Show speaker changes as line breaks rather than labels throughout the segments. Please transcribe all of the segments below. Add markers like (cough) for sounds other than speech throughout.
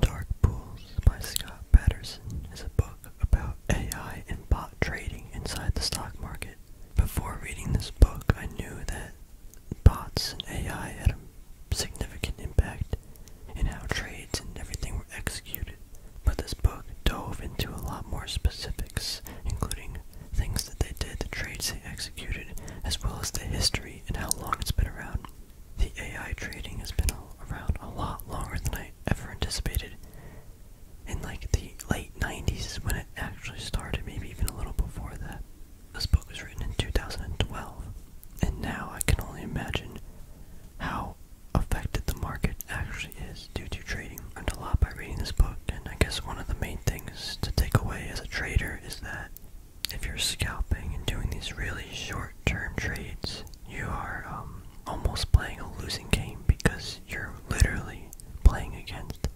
Dark Pools by Scott Patterson is a book about AI and bot trading inside the stock market. Before reading this book, I knew that bots and AI had a significant impact in how trades and everything were executed. But this book dove into a lot more specifics, including things that they did, the trades they executed, as well as the history and how long it's been around. The AI trading has been around a lot longer than I ever anticipated. In like the late 90s when it actually started, maybe even a little before that. This book was written in 2012, and now I can only imagine how affected the market actually is due to trading. I learned a lot by reading this book, and I guess one of the main things to take away as a trader is that if you're scalping and doing these really short-term trades, you are um, almost playing a losing game because you're literally playing against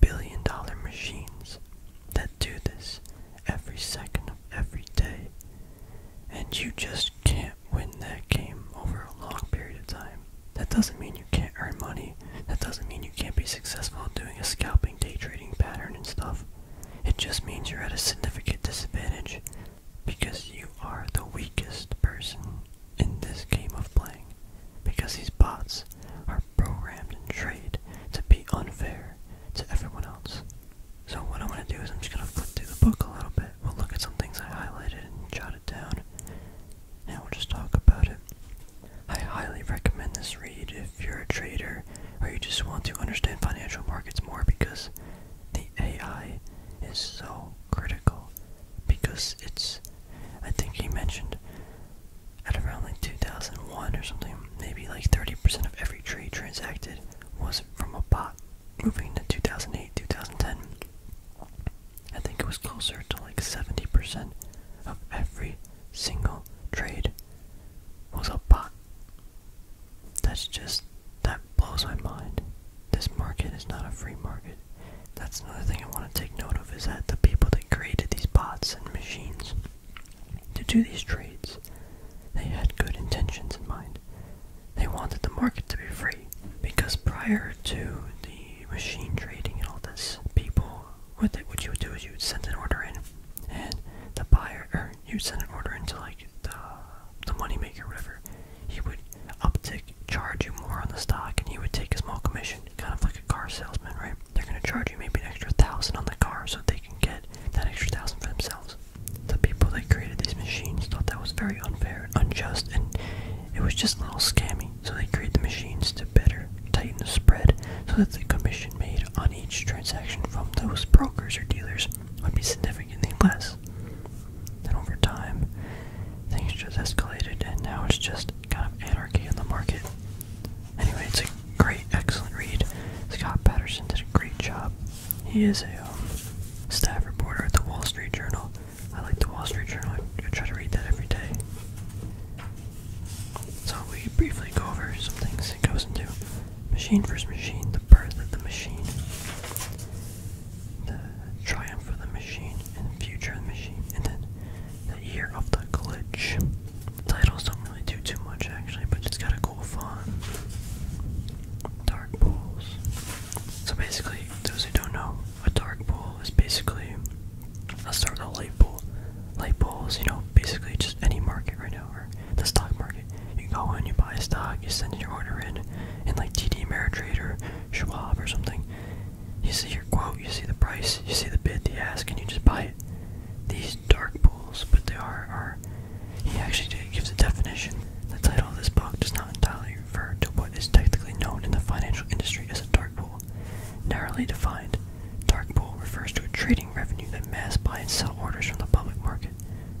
billion-dollar machines that do this every second of every day, and you just can't win that game over a long period of time. That doesn't mean you can't earn money. That doesn't mean you can't be successful at doing a scalping, day trading pattern and stuff. It just means you're at a significant disadvantage because you are the weakest person in this game of playing. Because these bots are programmed and trained to be unfair to everyone else. So what I'm gonna do is I'm just gonna flip through the book a little bit. We'll look at some things I highlighted and jotted down, and we'll just talk about it. I highly recommend this read if you're a trader or you just want to understand financial markets more because the AI is so critical because it's, I think he mentioned at around like 2001 or something, maybe like 30% of every trade transacted was from a bot. Moving to 2008, 2010, I think it was closer to like 70% of every single trade was a bot. That's just, that blows my mind. This market is not a free market. That's another thing I want to take note of is that the people that created these bots and machines to do these trades, they had good intentions in mind. They wanted the market to be free because prior to the machine trading and all this, people, what, what you would do is you would send an order in and the buyer, or order, he would send an order into like the the moneymaker or whatever. He would uptick, charge you more on the stock, and he would take a small commission, kind of like a car salesman, right? They're gonna charge you maybe an extra thousand on the car so they can get that extra thousand for themselves. The people that created these machines thought that was very unfair and unjust, and it was just a little scammy. So they created the machines to better tighten the spread so that the commission made on each transaction from those brokers or dealers would be significantly less. Then over time, things just escalated, and now it's just kind of anarchy in the market. Anyway, it's a great, excellent read. Scott Patterson did a great job. He is a um, staff reporter at the Wall Street Journal. I like the Wall Street Journal. I try to read that every day. So we briefly go over some things it goes into machine versus machine the birth of the machine, the triumph of the machine, and the future of the machine, and then the year of the glitch. Titles don't really do too much actually, but it's got a cool font. Dark pools. So basically, those who don't know, a dark pool is basically. I'll start with a light pool. Light pools, you know, basically just any market right now the stock market. You go in, you buy a stock, you send your order in, and like TD Ameritrade or Schwab or something, you see your quote, you see the price, you see the bid, the ask, and you just buy it. These dark pools, but they are, are he actually gives a definition. The title of this book does not entirely refer to what is technically known in the financial industry as a dark pool. Narrowly defined, dark pool refers to a trading revenue that mass buy and sell orders from the public market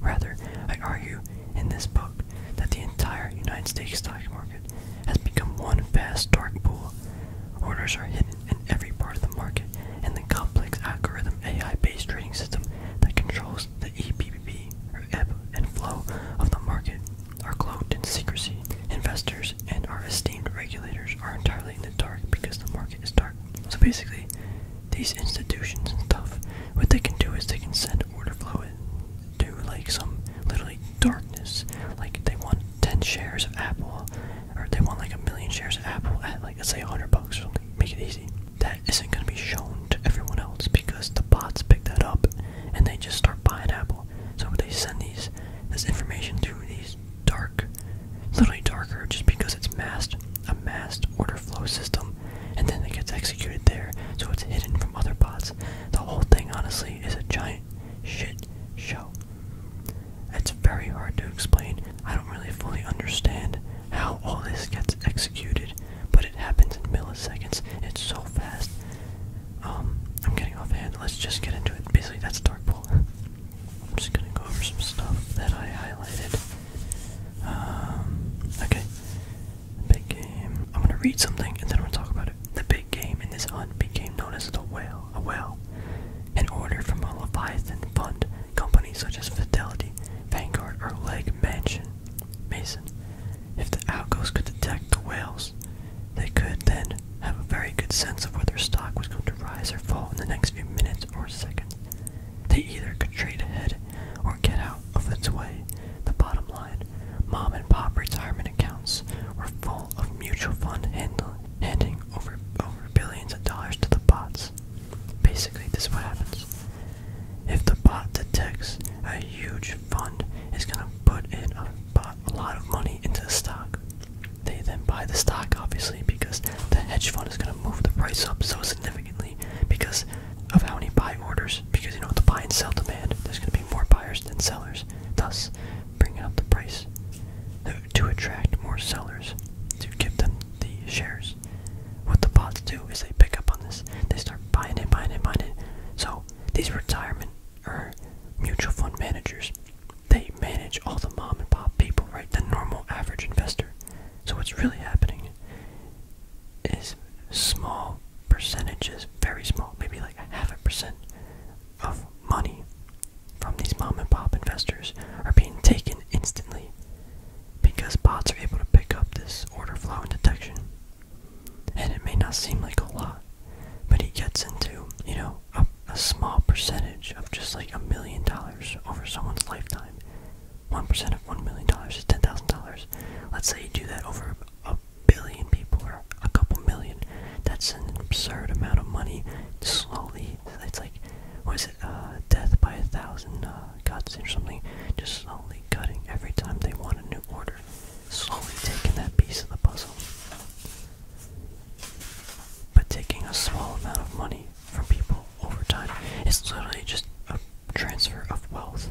Rather, I argue in this book that the entire United States stock market has become one vast dark pool. Orders are hidden in every part of the market, and the complex algorithm AI-based trading system that controls the EPBB, or ebb and flow of the market, are cloaked in secrecy. Investors and our esteemed regulators are entirely in the dark because the market is dark. So basically, these institutions and stuff, what they can do is they can send order flow to like some literally darkness. Like they want 10 shares of Apple, or they want like a million shares of Apple at like let's say 100 bucks or something. Make it easy. That isn't going to be shown to everyone else because the bots pick that up and they just start buying Apple. So they send these this information through these dark, literally darker, just because it's masked, a masked order flow system and then it gets executed there, so it's hidden from other bots. The whole thing, honestly, is a giant shit show. It's very hard to explain. I don't really fully understand how all this gets executed, but it happens in milliseconds. It's so fast. Um, I'm getting offhand. Let's just get into it. Basically, that's Dark Pool. (laughs) I'm just gonna go over some stuff that I highlighted. Um, okay, big game. I'm gonna read something and then we'll talk about it. The big game in this hunt became known as the whale, a whale, an order from a Leviathan fund companies such as Fidelity, Vanguard, or Leg Mansion. Mason. If the outgoes could detect the whales, they could then have a very good sense of whether stock was going to rise or fall in the next few minutes or seconds. They either could trade ahead or get out of its way. The bottom line mom and pop retirement accounts were full of mutual fund handling, handing over, over billions of dollars to the bots. Basically, this is what happens. If the bot detects a huge fund is going to put in a lot of money into the stock, they then buy the stock obviously because the hedge fund is going to move the price up so significantly because of how many buy orders. Because you know, the buy and sell demand, there's going to be more buyers than sellers, thus bringing up the price to attract more sellers to give them the shares. What the bots do is they pick up on this, they start buying it, buying it, buying it. So these retirement or mutual fund managers, they manage all the mom and pop people, right? The normal average investor. So what's really happening is small percentages, very small, maybe like a half a percent of money from these mom and pop investors are being taken instantly because bots are able to pick up this order flow and detection. And it may not seem like a lot, but it gets into, you know, a small percentage of just like a million dollars over someone's lifetime one percent of one million dollars is ten thousand dollars. Let's say you do that over a billion people or a couple million. That's an absurd amount of money. Slowly, it's like, what is it? Uh, death by a thousand uh, cuts or something. Just slowly cutting every time they want a new order. Slowly taking that piece of the puzzle. But taking a small amount of money from people over time, is literally just a transfer of wealth.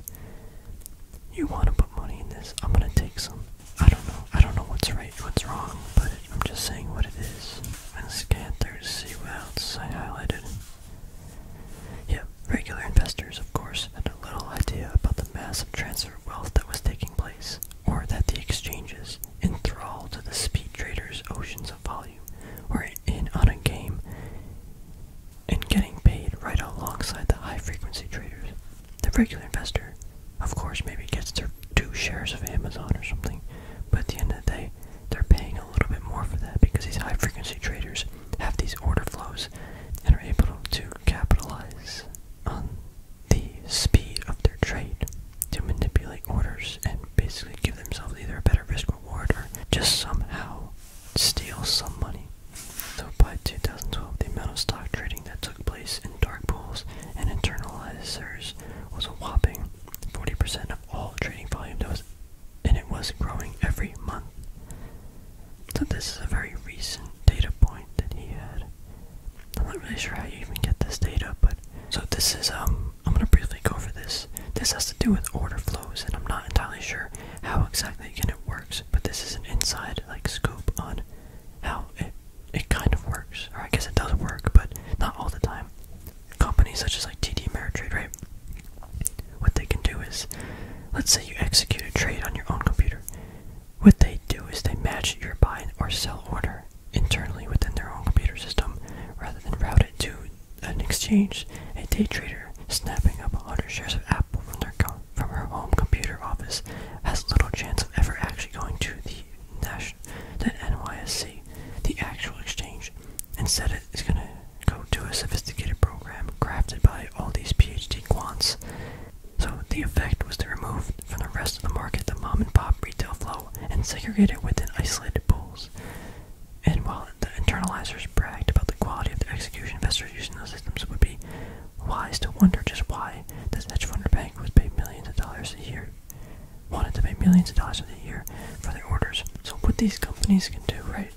You want to put money in this? I'm gonna take some. I don't know. I don't know what's right, what's wrong, but I'm just saying what it is. I'm gonna scan through to see what else I highlighted. Yep, regular investors, of course, had a little idea about the massive transfer of wealth that was taking place, or that the exchanges, enthralled to the speed traders' oceans of volume, were in on a game and getting paid right alongside the high frequency traders. The regular investor, of course, maybe gets their two shares of Amazon or something, but at the end of the day, they're paying a little bit more for that because these high frequency traders have these order flows and are able to capitalize on the speed of their trade to manipulate orders and basically give themselves either a better risk reward or just somehow steal some money. So by 2012, the amount of stock trading that took place in dark pools and internalizers was a whopping 40% of all trading volume that was, and it was growing every month. So this is a very recent data point that he had. I'm not really sure how you even get this data, but so this is um I'm gonna briefly go over this. This has to do with order flows, and I'm not entirely sure how exactly it works, but this is an inside like scoop on how it it kind of works, or I guess it does work, but not all the time. Companies such as like TD Ameritrade, right? What they can do is, let's say you execute a trade on your own computer. What they do is they match your buy or sell order internally within their own computer system, rather than route it to an exchange, a day trader snapping up 100 shares of Apple from, their from her home computer office has little chance of ever actually going to the, Nash the NYSC, the actual exchange. Instead, it is going to go to a sophisticated program crafted by all these PhD quants. So the effect was to remove from the rest of the market the mom and pop retail flow and segregate it within isolated pools. And while the internalizers bragged about the quality of their execution, investors using those systems would be wise to wonder just why this hedge fund or bank was paying millions of dollars a year, wanted to pay millions of dollars a year for their orders. So what these companies can do, right?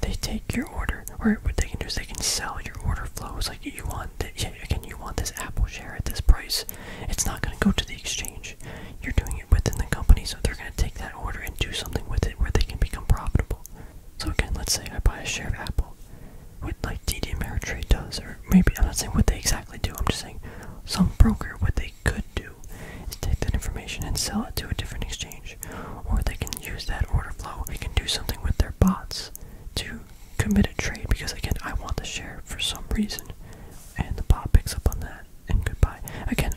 They take your order, or what they can do is they can sell your order flows. Like you want, again, you want this Apple share at this price. It's not going to go to the exchange. You're doing it within the company, so they're going to take that order and do something with it where they can become profitable. So again, let's say I buy a share of Apple, what like TD Ameritrade does, or maybe I'm not saying what they exactly do. I'm just saying some broker what they could do is take that information and sell it to a different exchange, or they can use that order flow. They can do something with their bots to commit a trade because again, I want the share for some reason, and the bot picks up on that and goodbye. Again,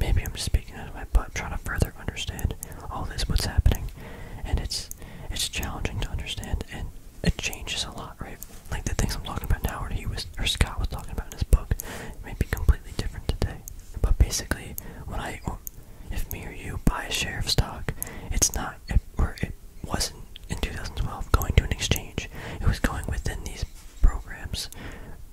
Maybe I'm just speaking out of my butt, trying to further understand all this, what's happening, and it's it's challenging to understand, and it changes a lot, right? Like the things I'm talking about now, or he was, or Scott was talking about in his book, may be completely different today. But basically, when I, if me or you buy a share of stock, it's not, or it wasn't in 2012 going to an exchange. It was going within these programs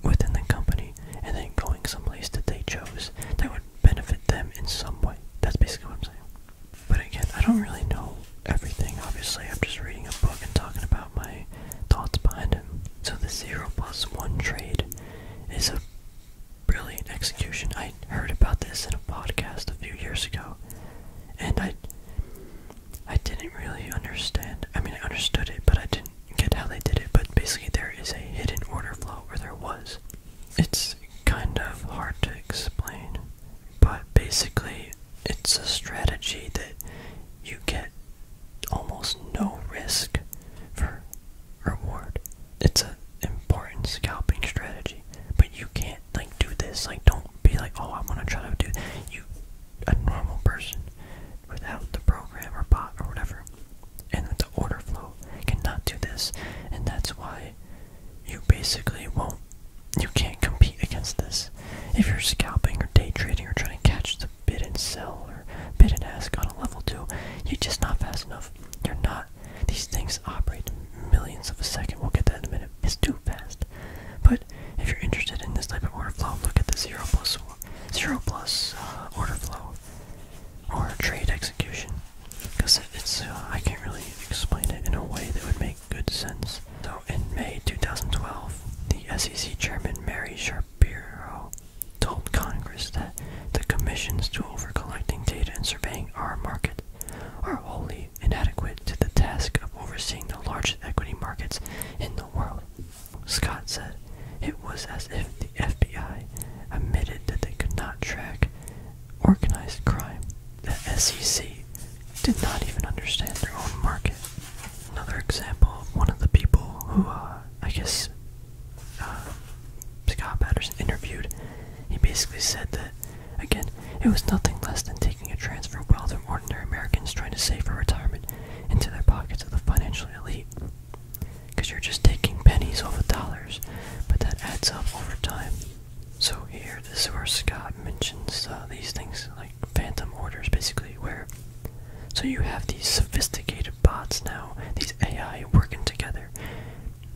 within the company and then going someplace that they chose that would benefit them in some way. That's basically what I'm saying. But again, I don't really know everything, obviously. I'm just reading a book and talking about my thoughts behind it. So the zero plus one trade is a brilliant execution. I heard about this in a podcast a few years ago and I I didn't really understand. I mean, I understood it, but I didn't get how they did it, but basically there is a hidden order flow, where there was. It's kind of hard to explain, but basically it's a strategy that you get almost no risk for reward. It's an important scalping strategy, but you can't like do this. Like, don't be like, oh, I want to try to do. You, a normal person without the program or bot or whatever. And the order flow cannot do this, and that's why you basically won't, you can't compete against this. If you're scalping or day trading or trying to catch the bid and sell or bid and ask on a level two, you're just not fast enough. You're not. These things operate millions of a second. We'll get that in a minute. It's too fast. But if you're interested in this type of order flow, look at the zero plus zero plus uh, order flow or trade execution. Because it's, uh, I can't really explain it in a way that would make good sense. So, in May 2012, the SEC Chairman Mary Shapiro told Congress that the Commission's tool for collecting data and surveying our market are wholly inadequate to the task of overseeing the largest equity markets in the world. Scott said it was as if the FBI admitted that they could not track organized crime. The SEC did not even understand their own market. Another example of one of the people who, uh, I guess, uh, Scott Patterson interviewed, he basically said that, again, it was nothing less than taking a transfer of wealth from ordinary Americans trying to save for retirement into their pockets of the financial elite because you're just taking pennies over dollars, but that adds up over time. So here, this is where Scott mentions uh, these things like phantom orders, basically, where so you have these sophisticated bots now, these AI working together.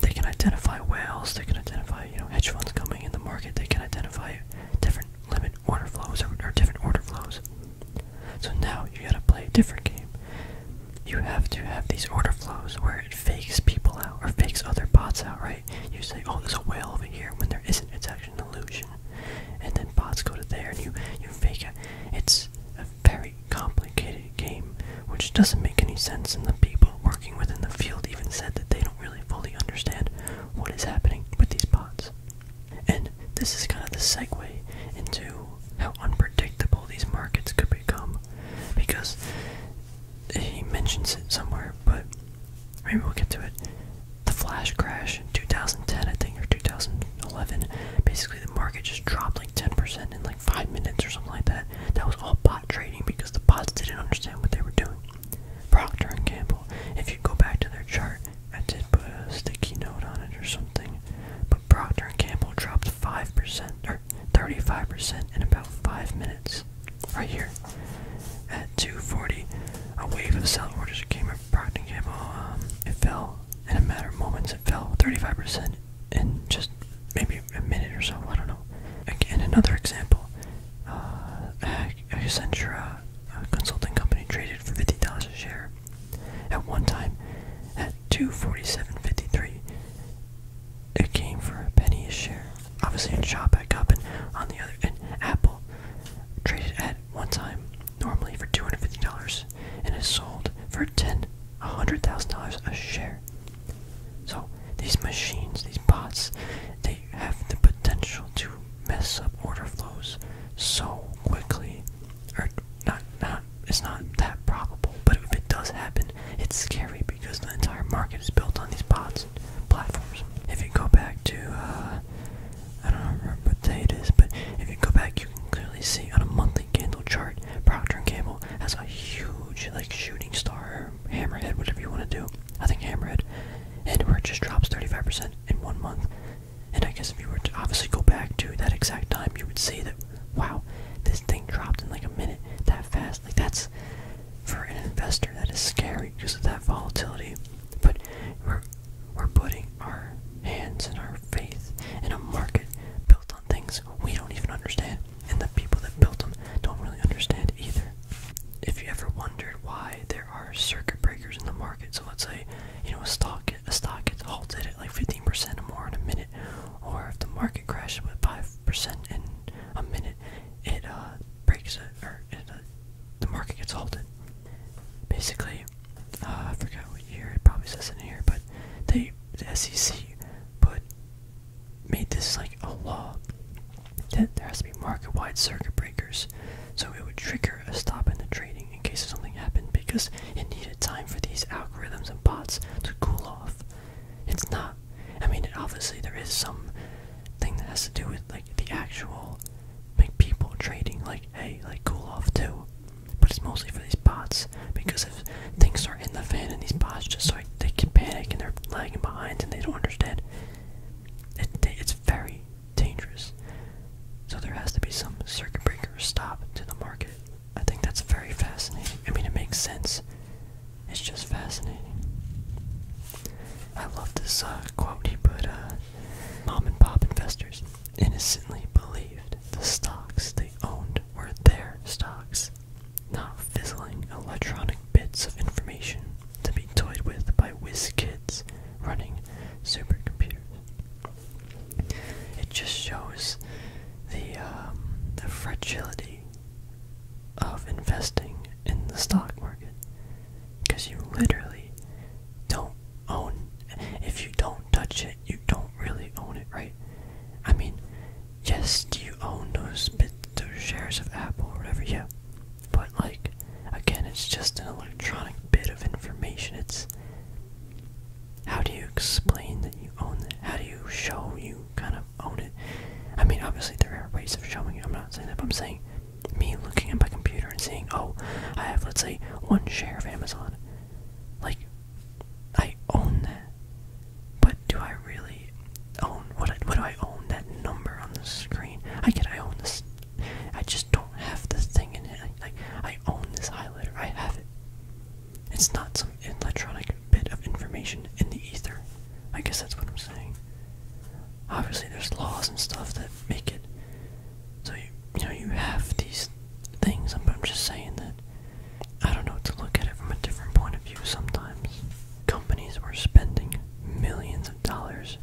They can identify whales. They can identify you know hedge funds coming in the market. They can identify different limit order flows or different order flows. So now you gotta play a different game. You have to have these order flows where it fakes people out or fakes other bots out, right? You say, oh, there's a whale over here when there isn't. It's actually an illusion. And then bots go to there and you, you fake it. It's a very complicated game, which doesn't make any sense. And the people working within the field even said that they don't really fully understand what is happening with these bots. And this is kind of the segue into how unpredictable these markets could become because he mentions it somewhere, but maybe we'll get to it. The flash crash in 2010, I think, or 2011, basically the market just dropped like 10% in like 5 minutes or something like that. That was all bot trading because the bots didn't understand what they were doing. Procter & Gamble, if you go back to their chart, I did put a sticky note on it or something spring, but Procter & Gamble dropped 5% or 35% in about 5 minutes. Right here at 2:40, a wave of sell orders came from Procter & Gamble. Um, it fell in a matter of moments. It fell 35% in just maybe a minute or so. I don't know. Again, another example. Uh, Accenture, uh, a consulting company, traded for $50 a share. At one time, at 247.53, it came for a penny a share. Obviously, it chop back up, and on the other end, Apple traded at one time normally for $250 and is sold for ten, $100,000 a share. So, these machines, these bots, they have the potential to mess up order flows so quickly or not not it's not that probable, but if it does happen, it's scary because the entire market is built on these bots and platforms. If you go back to uh I don't remember what day it is, but if you go back you can clearly see on a monthly candle chart, Procter and Gamble has a huge like shooting star hammerhead, whatever you want to do. I think hammerhead. And where it just drops thirty five percent in one month. And I guess if you were to obviously go back to that exact time, you would see that wow, this thing dropped in like a minute that fast. Like that's for an investor that is scary because of that volatility. But we're we're putting our hands and our faith in a market built on things we don't even understand, and the people that built them don't really understand either. If you ever wondered why there are circuit breakers in the market, so let's say you know a stock a stock gets halted at like 15% or more in a minute, or if the market crashes with five percent in a minute, it uh, breaks it or uh, the market gets halted. Basically, uh, I forgot what year it probably says in here, but they the SEC put made this like a law that there has to be market-wide circuit breakers, so it would trigger a stop in the trading in case something happened because it needed time for these algorithms and bots to cool off. It's not. I mean, obviously there is some thing that has to do with like the actual like people trading. Like, hey, like cool off too. But it's mostly for these bots because if things start in the fan and these bots just like they can panic and they're lagging behind and they don't understand. it's very dangerous. So there has to be some circuit breaker stop to the market. I think that's very fascinating. I mean, it makes sense. It's just fascinating. I love this uh, quote he put uh, Mom and pop investors innocently believed the stocks they owned were their stocks, not fizzling electronic bits of information to be toyed with by whiz kids running supercomputers. It just shows the um, the fragility of investing in the stock market because you literally don't own if you don't touch it you don't really own it right i mean yes you own those bit those shares of apple or whatever yeah but like again it's just an electronic bit of information it's how do you explain that you own it? How do you show you kind of own it? I mean, obviously there are ways of showing it. I'm not saying that, but I'm saying me looking at my computer and seeing, oh, I have, let's say, one share of Amazon. Like, I own that. But do I really own what? what do I own that number on the screen? I can I own this. I just don't have this thing in it. Like, I own this highlighter. I have it. It's not some electronic bit of information in the ether. I guess that's what I'm saying. Obviously, there's laws and stuff that make it. So you, know, you have these things. But I'm just saying that I don't know to look at it from a different point of view. Sometimes companies are spending millions of dollars.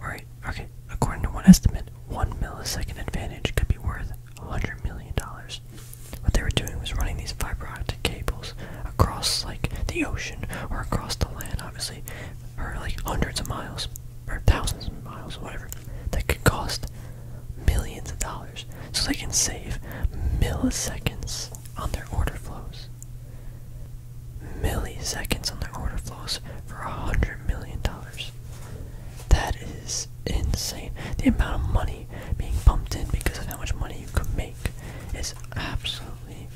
All right. Okay. According to one estimate, one millisecond advantage could be worth worth $100 million. What they were doing was running these fiber optic cables across, like, the ocean or across the land, obviously, or, like, hundreds of miles or thousands of miles or whatever, that could cost millions of dollars. So they can save milliseconds on their order flows. Milliseconds on their order flows for $100 million. That is insane. The amount of money being pumped in because of how much money you can make is absolutely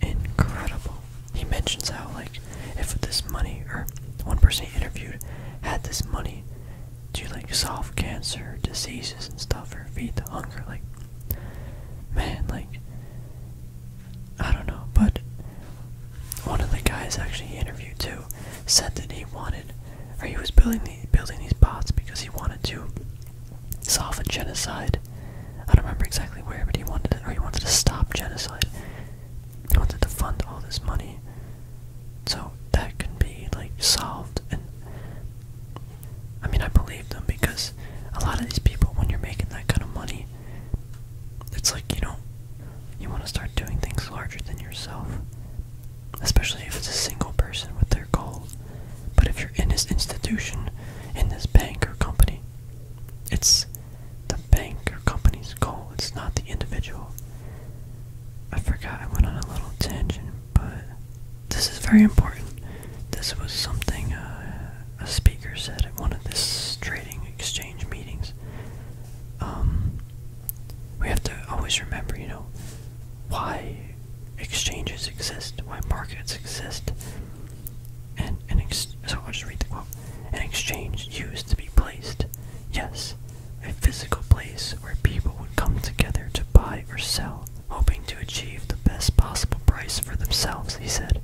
incredible. He mentions how, like, if this money, or one person he interviewed had this money to, like, solve cancer, diseases, and stuff, or feed the hunger, like, man, like, I don't know, but one of the guys actually interviewed too, too, said that he wanted, or he was building the, building these bots because he wanted to soften genocide. I don't remember exactly where, but he wanted, to, or he wanted to stop genocide. He wanted to fund all this money, so that can be like solved. And I mean, I believe them because a lot of these people, when you're making that kind of money, it's like you know, you want to start doing things larger than yourself especially if it's a single person with their goal. But if you're in this institution, in this bank or company, it's the bank or company's goal, it's not the individual. I forgot I went on a little tangent, but this is very important. This was something uh, a speaker said at one of these trading exchange meetings. Um, we have to always remember, you know, why exchanges exist, why markets exist. And an so I'll just read the quote. An exchange used to be placed. Yes, a physical place where people would come together to buy or sell, hoping to achieve the best possible price for themselves, he said.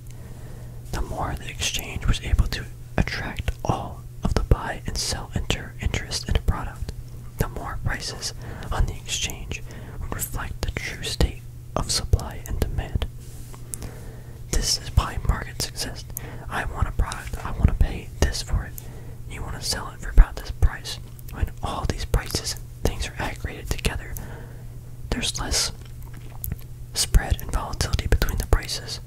The more the exchange was able to attract all of the buy and sell inter interest in a product, the more prices on the exchange reflect the true state of supply and demand. This is why markets exist. I want a product, I want to pay this for it. You want to sell it for about this price. When all these prices and things are aggregated together, there's less spread and volatility between the prices,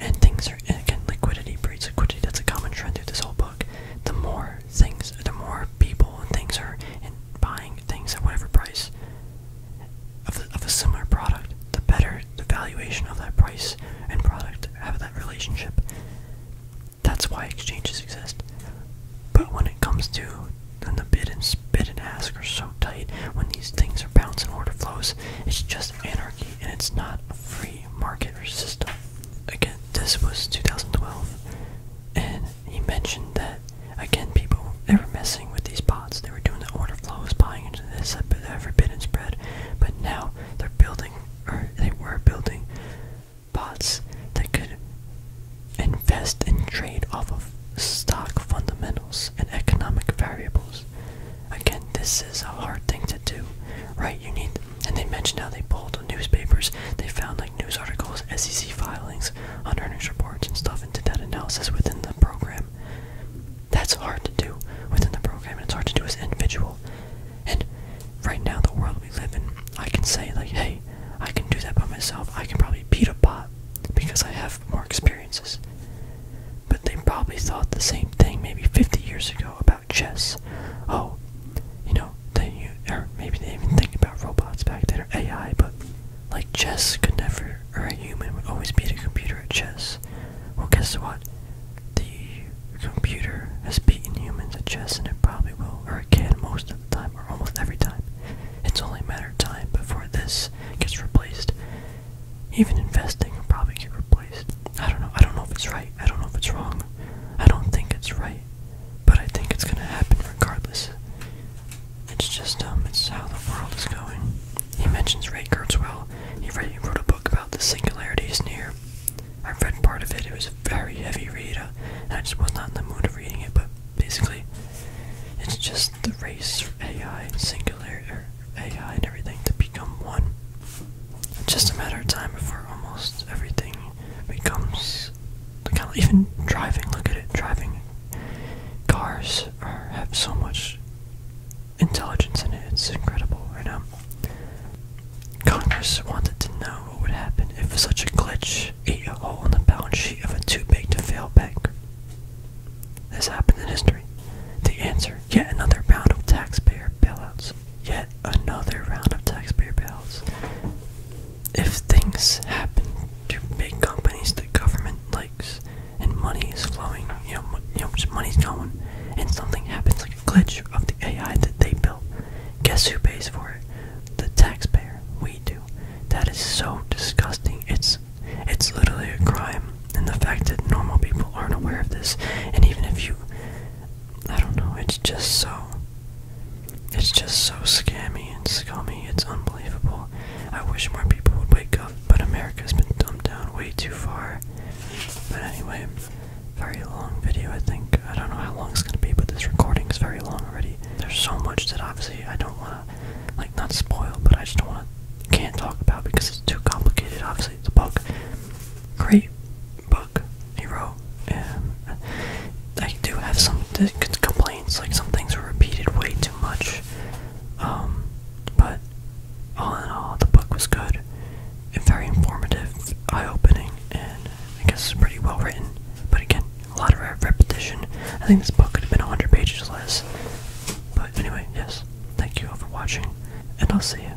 and things again, liquidity breeds liquidity. That's a common trend through this whole book. The more things, the more people and things are in buying things at whatever price of, of a similar product, the better the valuation of that price and product have that relationship. That's why exchanges exist. But when it comes to when the bid and spit and ask are so tight, when these things are bouncing order flows, it's just anarchy and it's not a free market or system again, this was 2012, and he mentioned that again people they were messing with these pots. They were doing the order flows, buying into this been forbidden spread, but now they're building or they were building pots that could invest and trade off of stock fundamentals and economic variables. Again, this is a hard thing to do, right? You need and they mentioned how they pulled newspapers, they found like news articles, SEC filings, on earnings reports and stuff, and did that analysis within the program. That's hard to do within the program, and it's hard to do as an individual. And right now, the world we live in, I can say, like, hey, I can do that by myself. I can probably beat a bot because I have more experiences. But they probably thought the same thing maybe 50 years ago about chess. Oh, you know, they or maybe they even think about robots back there, AI, but like chess could never, or a human would always beat a computer at chess. Well, guess what? The computer has beaten humans at chess, and it probably will, or it can most of the time, or almost every time. It's only a matter of time before this gets replaced. Even investing will probably get replaced. I don't know. I don't know if it's right. I don't know if it's wrong. I don't think it's right, but I think it's gonna happen regardless. It's just um, it's how the world is going. He mentions Ray Kurzweil. He, wrote a book about the singularity is near. I read part of it. It was a very heavy read, and I just was not in the mood of reading it. But basically, it's just the race for AI and singularity, er, AI and everything to become one. It's just a matter of time before almost everything becomes kind of even driving. Look at it, driving. Cars have so much intelligence in it. It's incredible right now. Congress wanted to know what would happen if such a glitch ate a hole in the balance sheet of a too big to fail bank. This happened in history. The answer: yet another round of taxpayer bailouts yet another round of taxpayer bills. If things happen to big companies the government likes and money is flowing, you know, you know just money's going, and something happens like a glitch of the AI that they built, guess who pays for it? The taxpayer. We do. That is so disgusting. It's it's literally a crime, and the fact that normal people aren't aware of this, and even if you I don't know, it's just so it's just so scammy and scummy, it's unbelievable. I wish more people would wake up, but America's been dumbed down way too far. But anyway, very long video I think. I don't know how long it's gonna be, but this recording is very long already. There's so much that obviously I don't wanna like not spoil, but I just don't wanna can't talk about because it's too complicated, obviously it's a book. Great. book he wrote. Um, I do have some complaints, like some things were repeated way too much. Um, but all in all, the book was good and very informative, eye-opening, and I guess pretty well written. But again, a lot of repetition. I think this book could have been 100 pages less. But anyway, yes, thank you all for watching, and I'll see you.